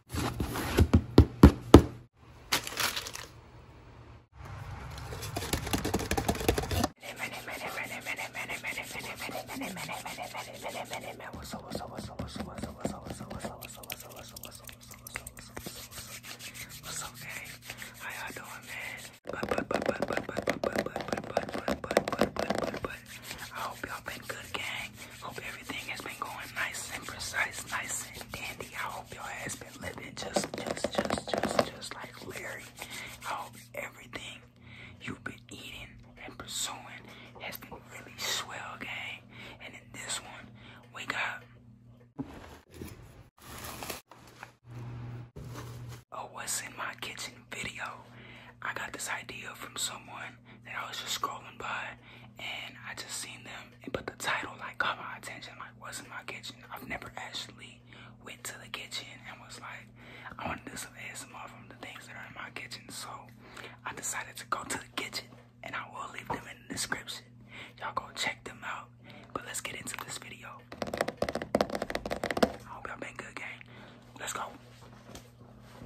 What's okay? How y'all doing, man? I hope y'all been good, gang. Hope everything has been going nice and precise, nice and dandy. I hope y'all has been living just, just, just, just, just like Larry. I hope everything you've been eating and pursuing has been really swell, gang. And in this one, we got. Oh, what's in my kitchen video. I got this idea from someone I was just scrolling by, and I just seen them. and But the title like caught my attention. Like, what's in my kitchen? I've never actually went to the kitchen and was like, I want to do some ASMR from the things that are in my kitchen. So I decided to go to the kitchen, and I will leave them in the description. Y'all go check them out. But let's get into this video. I hope y'all been good, gang. Let's go.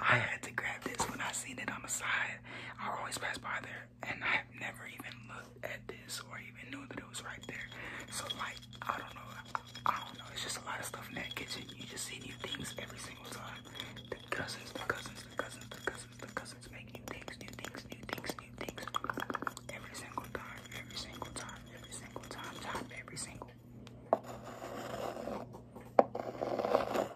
I had to grab this when I seen it on the side. I always pass by there, and I've never even looked at this or even knew that it was right there. So like, I don't know. I, don't know. It's just a lot of stuff in that kitchen. You just see new things every single time. The cousins, the cousins, the cousins, the cousins, the cousins make new things, new things, new things, new things. Every single time, every single time, every single time, time, every single.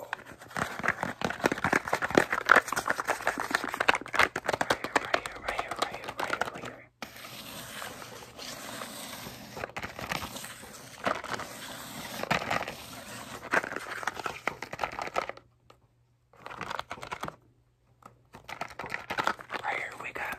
Oh. Right here, right here, right here, right here, right here, right here. Right here we got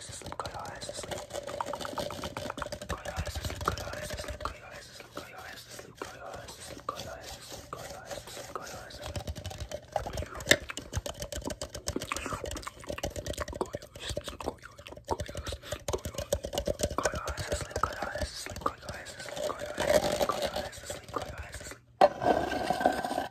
eyes to sleep, go your eyes to sleep. Go your eyes to sleep, go your eyes to sleep, go your eyes to sleep, go your eyes to sleep, go your eyes to sleep, go your eyes to sleep, go your eyes to sleep, go your eyes to sleep.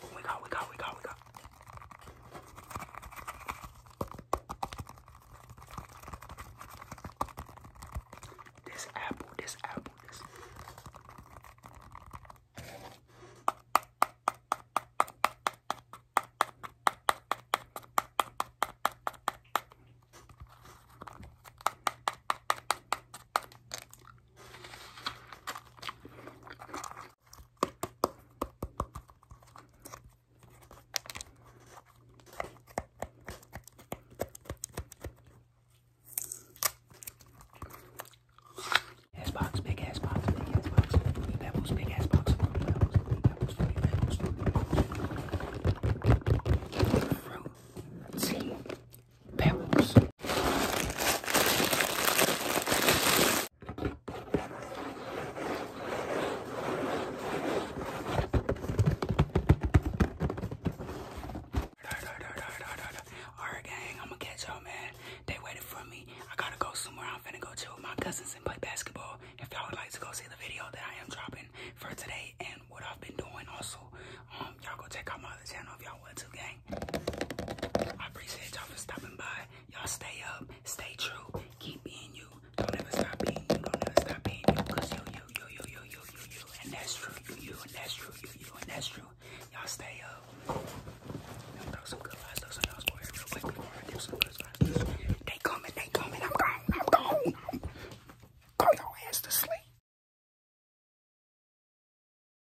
What we got, we got, we got, we got. This apple, this apple, this. Ass box, big ass box, big ass box, fruity pebbles, big ass box, fruity pebbles, fruity pebbles, fruity pebbles, fruity pebbles, fruity pebbles. pebbles. Alright gang, I'ma catch y'all man. They waited for me. I gotta go somewhere. I'm finna go chill with my cousins and play basketball. If y'all would like to go see the video that I am dropping for today and what I've been doing also, um, y'all go check out my other channel if y'all want to gang everything. I appreciate y'all for stopping by. Y'all stay up, stay true, keep being you. Don't ever stop being you, don't ever stop being you. Cause you, you, you, you, you, you, you, you, and that's true, you, you, and that's true, you, you, and that's true. Y'all stay up. Now throw some good vibes, throw some y'all's for real quick before I give some good vibes. They coming, they coming, I'm gone, I'm gone. Go your ass to sleep.